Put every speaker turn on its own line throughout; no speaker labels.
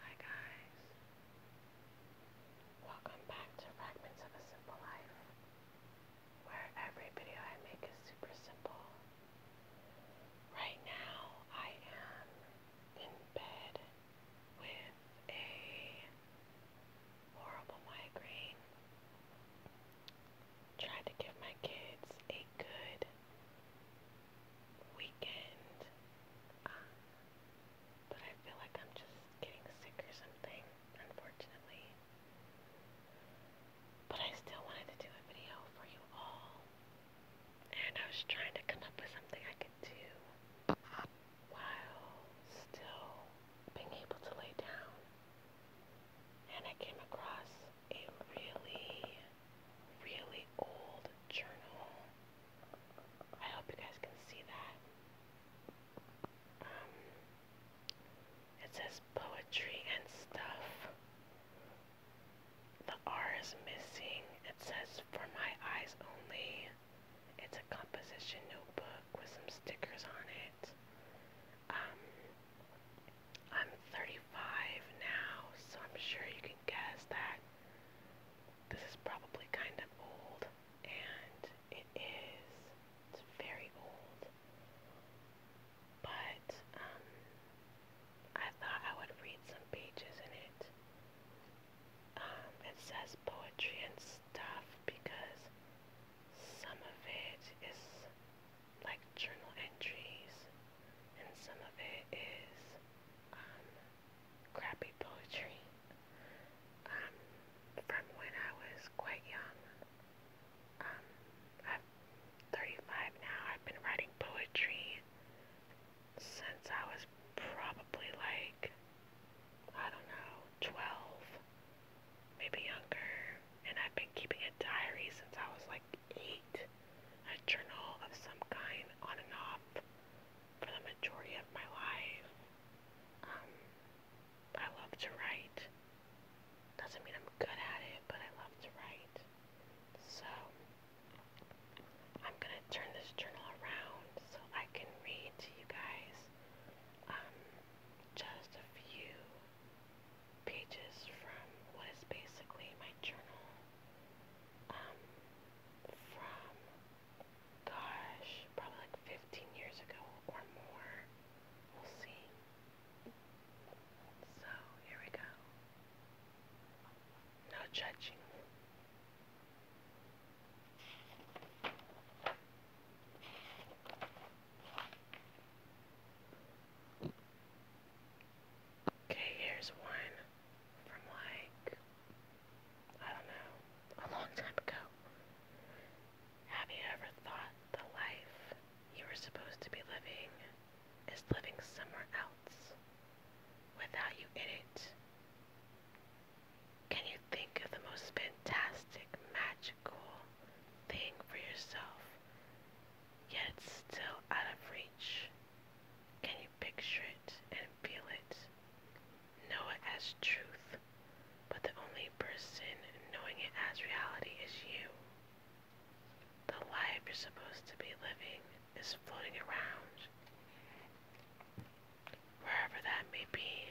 Hi guys. Welcome back to Fragments of a Simple Life, where every video I make is super simple. Right now I am in bed with a horrible migraine. Tried to give my kids a good weekend, uh, but I feel like I'm just getting sick or something, unfortunately. But I still wanted to do a video for you all, and I was trying to come up with something I could do while still being able to lay down. And I came across a really, really old journal. I hope you guys can see that. Um, it says poetry and stuff. The R is missing. It says for my eyes only. It's a composition notebook with some stickers on it. Um, I'm 35 now, so I'm sure you can guess that this is probably kind of old, and it is. very old. But, um, I thought I would read some pages in it. Um, it says poetry and stuff because some of it is like journal entries, and some of it is um, crappy poetry um, from when I was quite young. Um, I'm 35 now. I've been writing poetry since I was probably like, I don't know, 12, maybe younger. And I've been keeping a diary since I was like eight, a journal of some kind on and off for the majority of my life. Um, I love to write. Doesn't mean I'm good at it, but I love to write. So, I'm gonna turn this journal around so I can read to you guys um, just a few pages from what is basically my journal um, from, gosh, probably like 15 years ago or more. We'll see. So, here we go. No judging. Okay, here's one from like, I don't know, a long time ago. Have you ever thought the life you were supposed to be living is living somewhere else without you in it? Can you think of the most fantastic, magical thing for yourself yet still out of reach. Can you picture it and feel it? Know it as truth, but the only person knowing it as reality is you. The life you're supposed to be living is floating around, wherever that may be,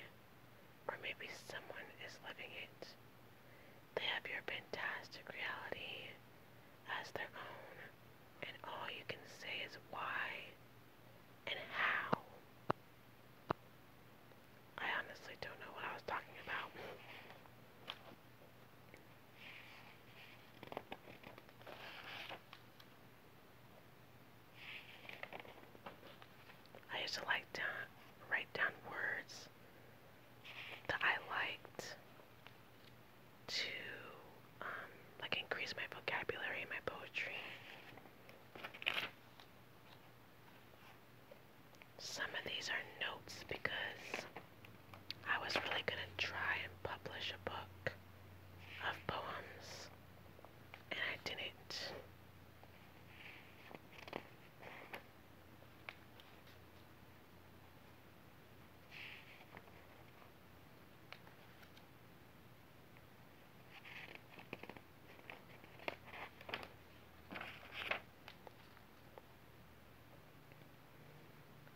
or maybe someone is living it. They have your fantastic reality as their own, and all you can say is why and how. I honestly don't know what I was talking about. I used to like to write down words that I liked to um, like increase my vocabulary and my poetry. Some of these are notes because I was really gonna try and publish a book of poems and I didn't.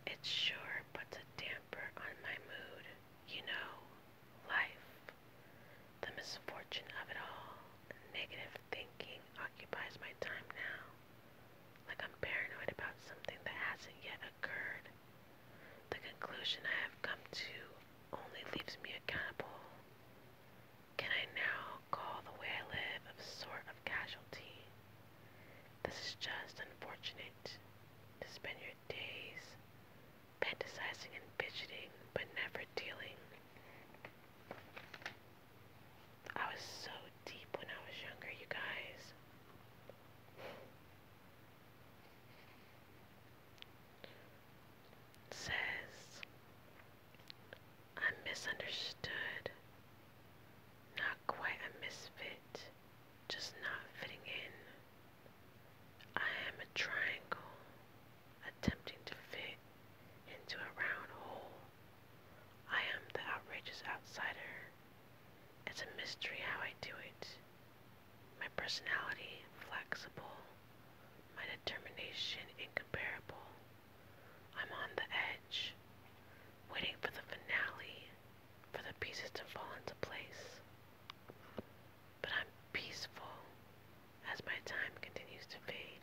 It sure puts a damper on my mood, you know, life, the misfortune of it all. Negative thinking occupies my time now. Like I'm paranoid about something that hasn't yet occurred. The conclusion I have come to only leaves me accountable. Can I now call the way I live a sort of casualty? This is just unfortunate to spend your days fantasizing and fidgeting, but never dealing. I was so deep when I was younger, you guys. says, I'm misunderstood, not quite a misfit, just not fitting in. I am a triangle attempting to fit into a round hole. I am the outrageous outsider. It's a mystery how I do it. My personality, flexible. My determination, incomparable. I'm on the edge, waiting for the finale, for the pieces to fall into place. But I'm peaceful as my time continues to fade.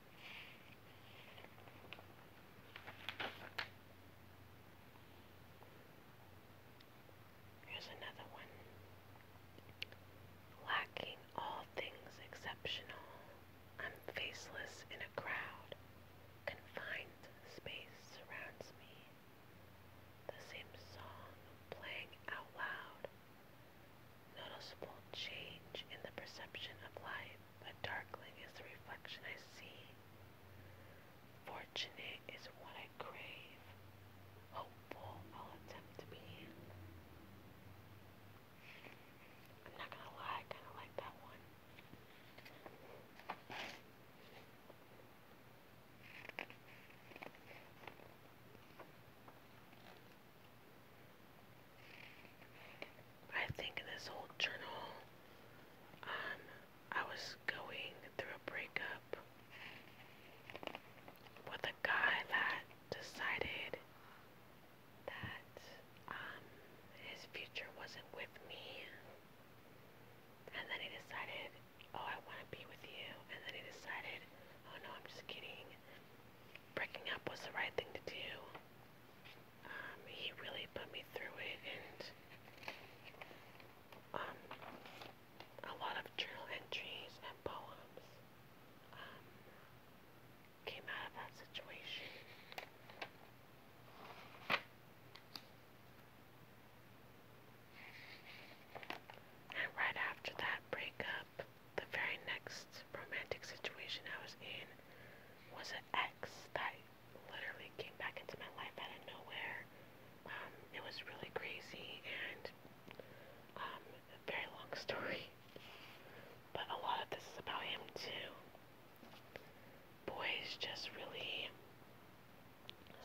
Here's another one. Lacking all things exceptional, I'm faceless in a crowd. Confined space surrounds me. The same song playing out loud. Noticeable change in the perception of life. The darkling is the reflection I see. Fortunate is what I crave, hopeful I'll attempt to be. I'm not gonna lie, I kinda like that one. I think in this whole journal, um, I was going through a breakup with a guy that decided that um, his future wasn't with me. And then he decided, oh, I want to be with you. And then he decided, oh no, I'm just kidding. Breaking up was the right thing to do. Um, he really put me through it, and um, a lot of journal entries and poems um, came out of that situation. And right after that breakup, the very next romantic situation I was in was at ex that literally came back into my life out of nowhere. Um, it was really crazy and um, a very long story. But a lot of this is about him too. Boys just really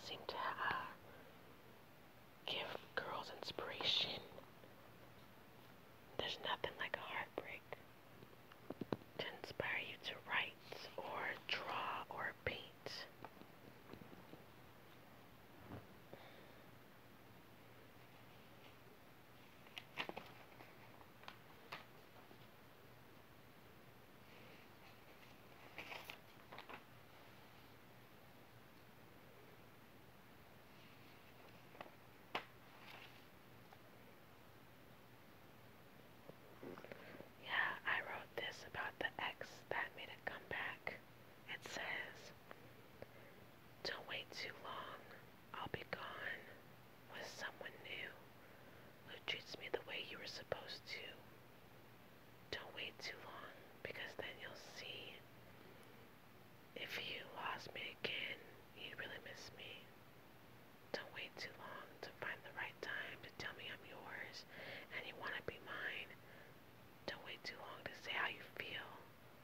seem to uh, give girls inspiration. There's nothing like a heartbreak to inspire you to write or draw or paint. Yeah, I wrote this about the ex that made a comeback. It says, Don't wait too long. I'll be gone with someone new who treats me the way you were supposed to. Don't wait too long because then you'll see if you lost me again, you'd really miss me. Don't wait too long to find the right time to tell me I'm yours and you want to be mine. Don't wait too long to say how you feel.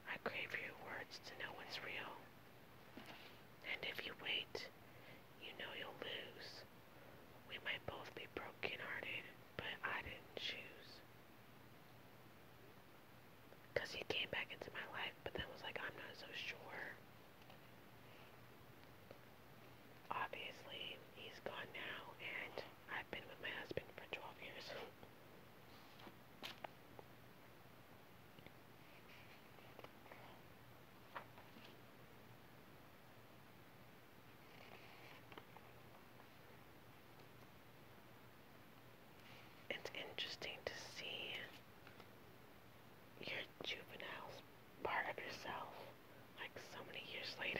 I crave your words to know what's real. And if you wait, you know you'll lose. We might both be broken hearted, but I didn't choose. Because he came back into my life, but then was like, I'm not so sure. Obviously, he's gone now, and I've been with my husband for 12 years. it's interesting to see your juveniles part of yourself like so many years later.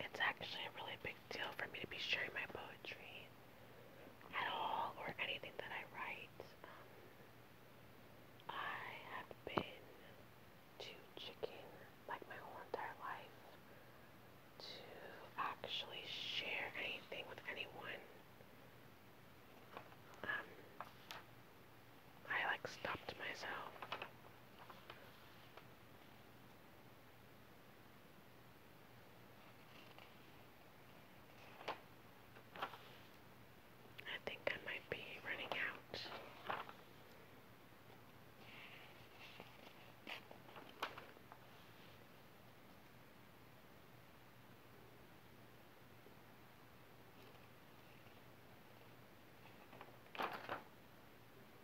It's actually a really big deal for me to be sharing my poetry at all or anything that I write. Um, I have been too chicken like my whole entire life to actually share anything with anyone. Um, I like stopped myself I think I might be running out.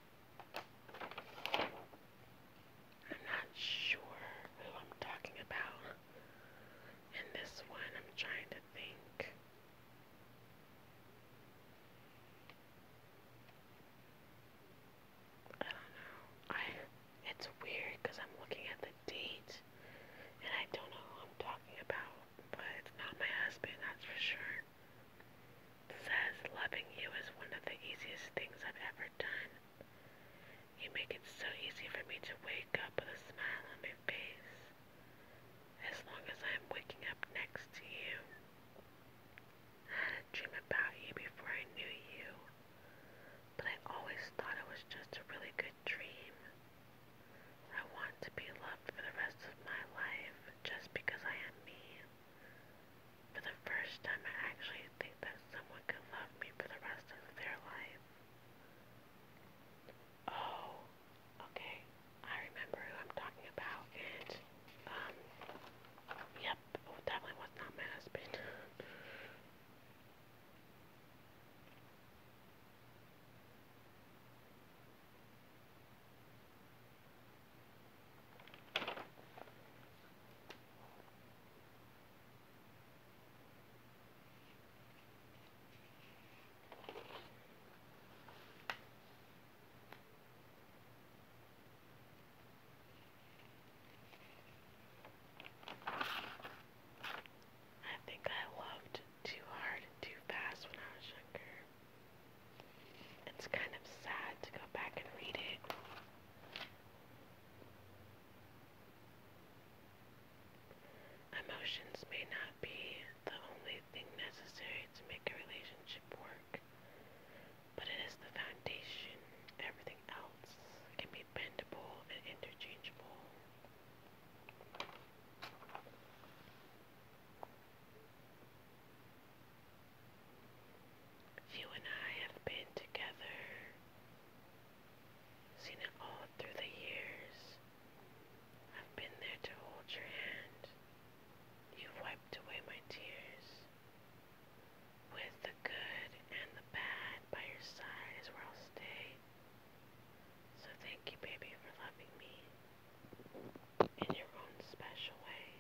I'm not sure who I'm talking about And this one. I'm trying to think. I don't know. I it's weird because I'm looking at the date and I don't know who I'm talking about, but it's not my husband, that's for sure says loving you is one of the easiest things I've ever done. You make it so easy for me to wake up with a smile on my face as long as I'm waking up next to you. I had about you before I knew you, but I always thought it was just a really good dream. I want to be loved for the rest of my life just because I am me. For the first time, I actually think that someone could love me for the rest of their life. Oh, okay. I remember who I'm talking about, and, um, yep, definitely oh, was not my husband. I think I loved too hard and too fast when I was younger. It's kind of sad to go back and read it. Emotions may not be the only thing necessary to make a relationship work, but it is the foundation. Everything else can be bendable and interchangeable. You and I have been together, seen it all through the years. I've been there to hold your hand. You've wiped away my tears. With the good and the bad by your side is where I'll stay. So thank you, baby, for loving me in your own special way.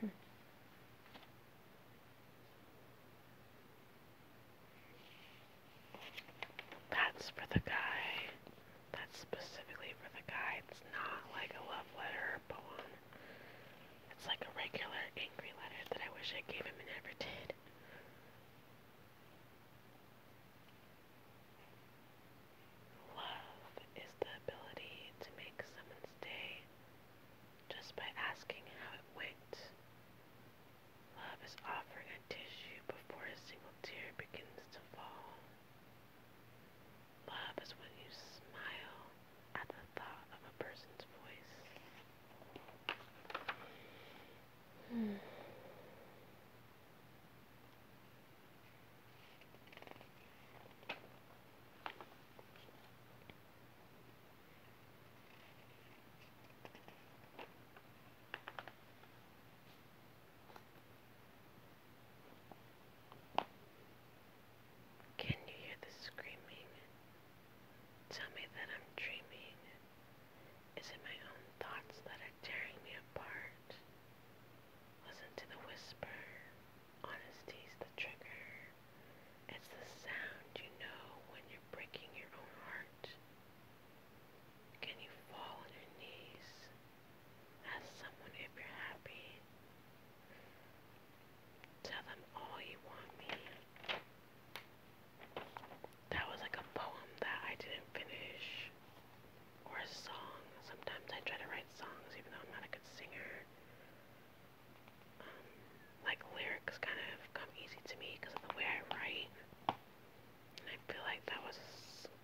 Hmm. That's for the guy. That's specifically for the guy. It's not like a love letter or poem. It's like a regular angry letter that I wish I gave him and never did. Love is the ability to make someone's day just by asking how it went. Love is offering tissue before a single tear begins to fall. Love is when you smile at the thought of a person's voice. Can you hear the screaming? Tell me that I'm dreaming. Is it my own thoughts that are tearing me apart? Listen to the whisper. Honesty's the trigger. It's the sound you know when you're breaking your own heart. Can you fall on your knees? Ask someone if you're happy. Tell them all you want me. That was like a poem that I didn't finish. Or a song. Sometimes I try to write songs even though I'm not a good singer. Um, like lyrics kind of come easy to me because of the way I write. I feel like that was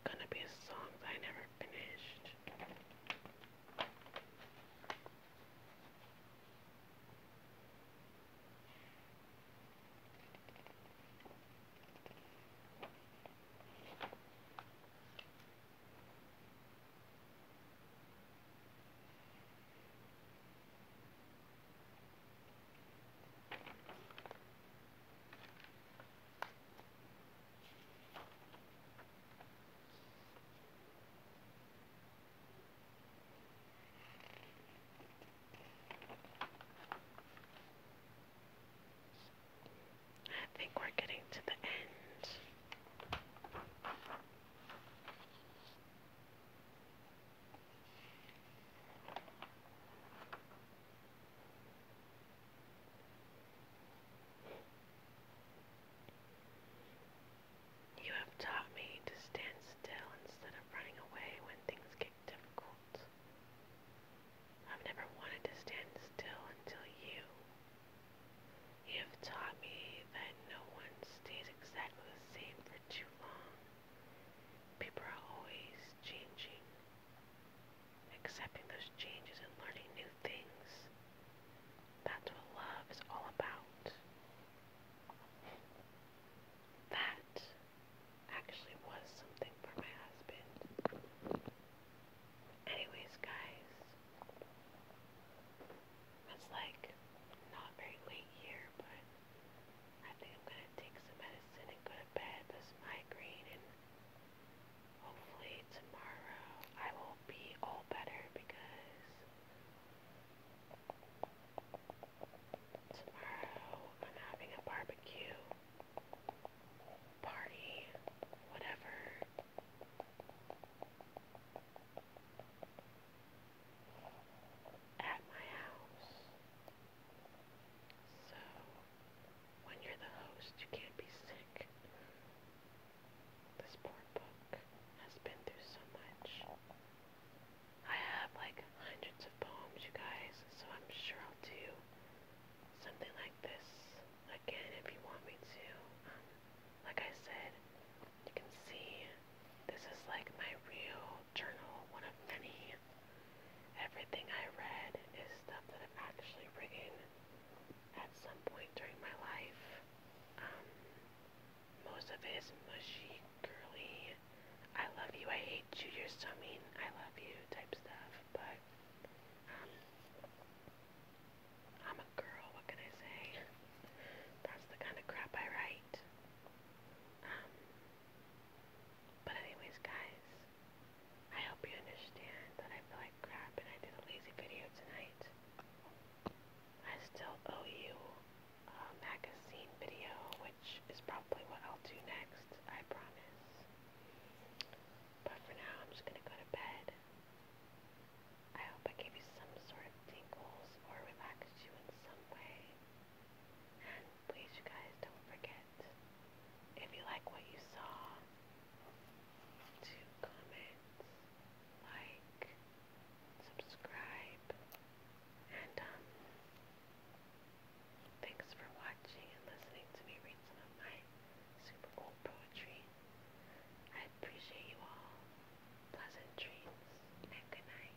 gonna be a song that I never finished. I think we're getting to the end. You have taught me to stand still instead of running away when things get difficult. I've never wanted to stand still until you. You have taught me that no one stays exactly the same for too long. People are always changing accepting those changes and learning new things. That's what love is all about. That actually was something for my husband. Anyways, guys, it's like not very late here, but I think I'm going to take some medicine and go to bed with migraine and hopefully tomorrow I will be all better because tomorrow I'm having a barbecue party, whatever. At my house, so, when you're the host, you can't be sick. This poor book has been through so much. I have like hundreds of poems, you guys, so I'm sure I'll do something like this again if you want me to. Um, like I said, you can see this is like my real journal, one of many. Everything I read is stuff that I'm actually bringing at some point during my life. Um, most of it is mushy, girly, I love you, I hate you, you're so mean, I love you type stuff, but um, I'm a girl, what can I say? That's the kind of crap I write. Um, but anyways, guys, I hope you understand that I feel like crap and I did a lazy video tonight. I still owe you a magazine video, which is probably what I'll do next, I promise. But for now, I'm just going to go to bed. I hope I gave you some sort of tingles or relaxed you in some way please you guys don't forget, if you like what you saw, to comment, like, subscribe, and um, thanks for watching and listening to me read some of my super cool poetry. I appreciate you all. Pleasant dreams and good night.